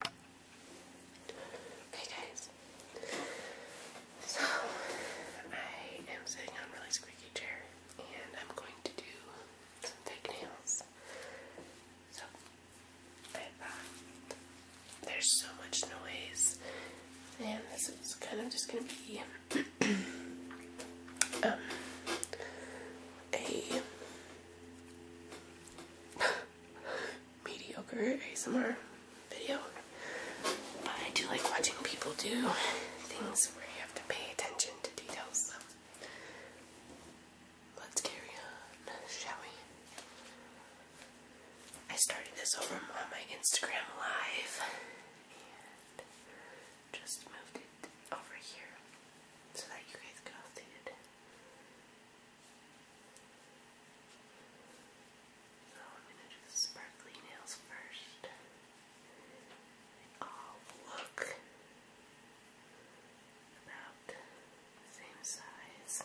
Okay guys, so I am sitting on a really squeaky chair and I'm going to do some fake nails. So there's so much noise and this is kind of just going to be um, a mediocre ASMR video. But I do like watching people do things where you have to pay attention to details. let's carry on, shall we? I started this over on my Instagram live and just moved it over here so that you guys could all see it. So I'm going to do sparkly nails first. They all look about same size.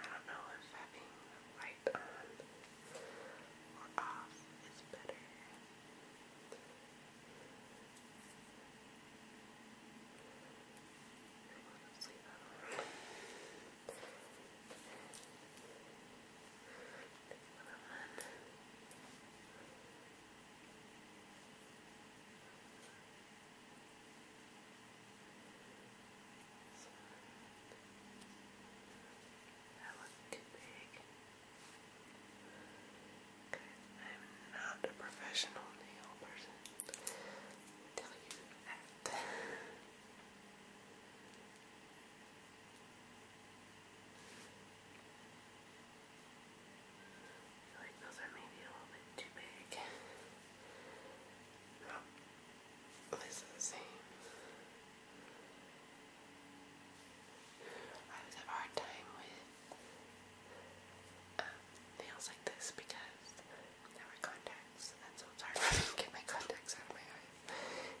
I don't know if having the light on or off is better. That was big. Okay, I'm not a professional nail person. tell you I feel like those are maybe a little bit too big. Oh, this is the same. I always have a hard time with um, nails like this because I wear contacts and so hard for my contacts out of my eyes.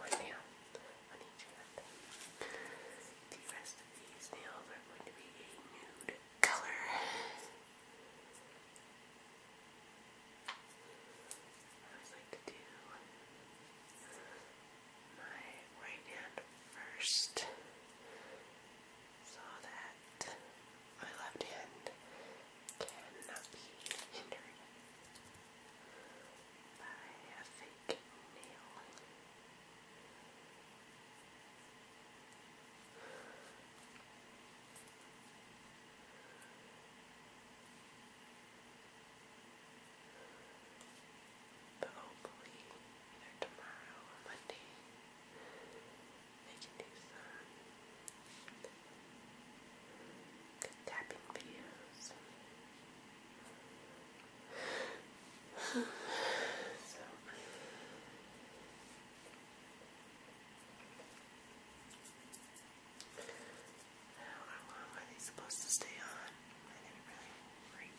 Right now, these nails are going to be a nude color. I like to do my right hand first so that my left hand cannot be hindered by a fake nail. But hopefully, either tomorrow or Monday, they can do good tapping videos. so how long are they supposed to stay on? I didn't really read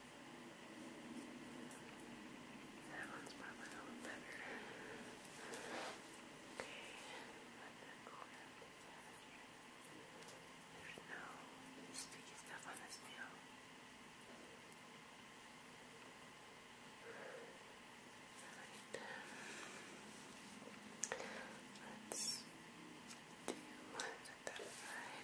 That one's probably a little better. Okay, I'm gonna go ahead and take that out here. There's no sticky stuff on this nail. Alright. Let's do set that aside.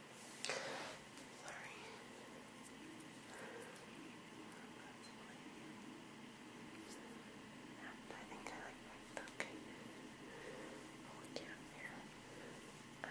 Sorry. I think I like my book. Oh, down here. Um,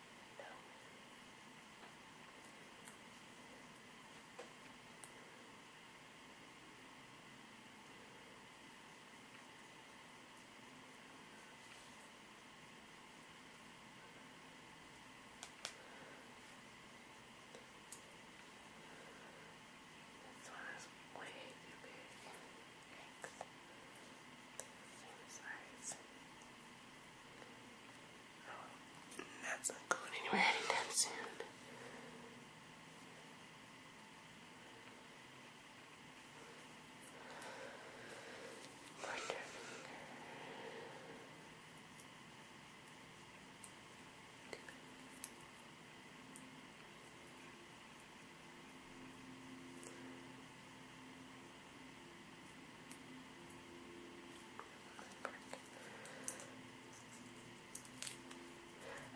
This one is way too big length, same that's not going anywhere anytime soon.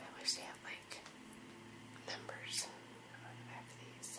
I wish they had like numbers on the back of these.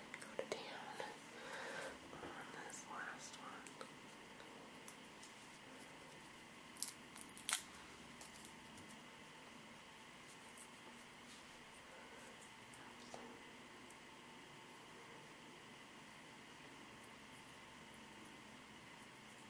And go to town on this last one. Oops.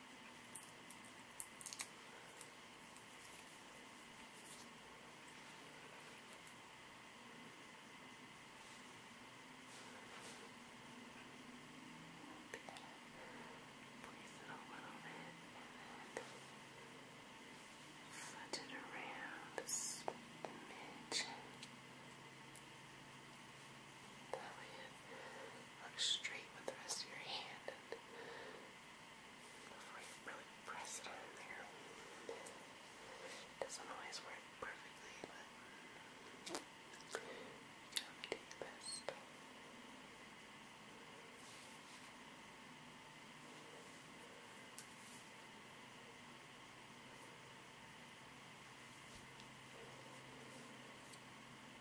place it a little bit and then fudge it around the smidge. That straight with the rest of your hand and before you really press it on there. doesn't always work perfectly, but you do the best.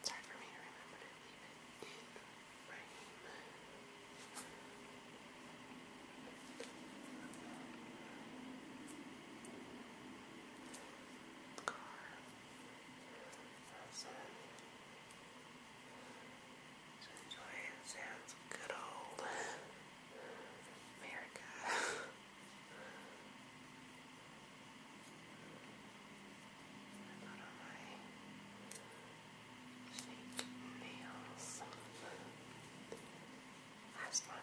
It's hard for me to remember it in frame. Car. enjoy it. good old America. put on my fake nails. Last one. All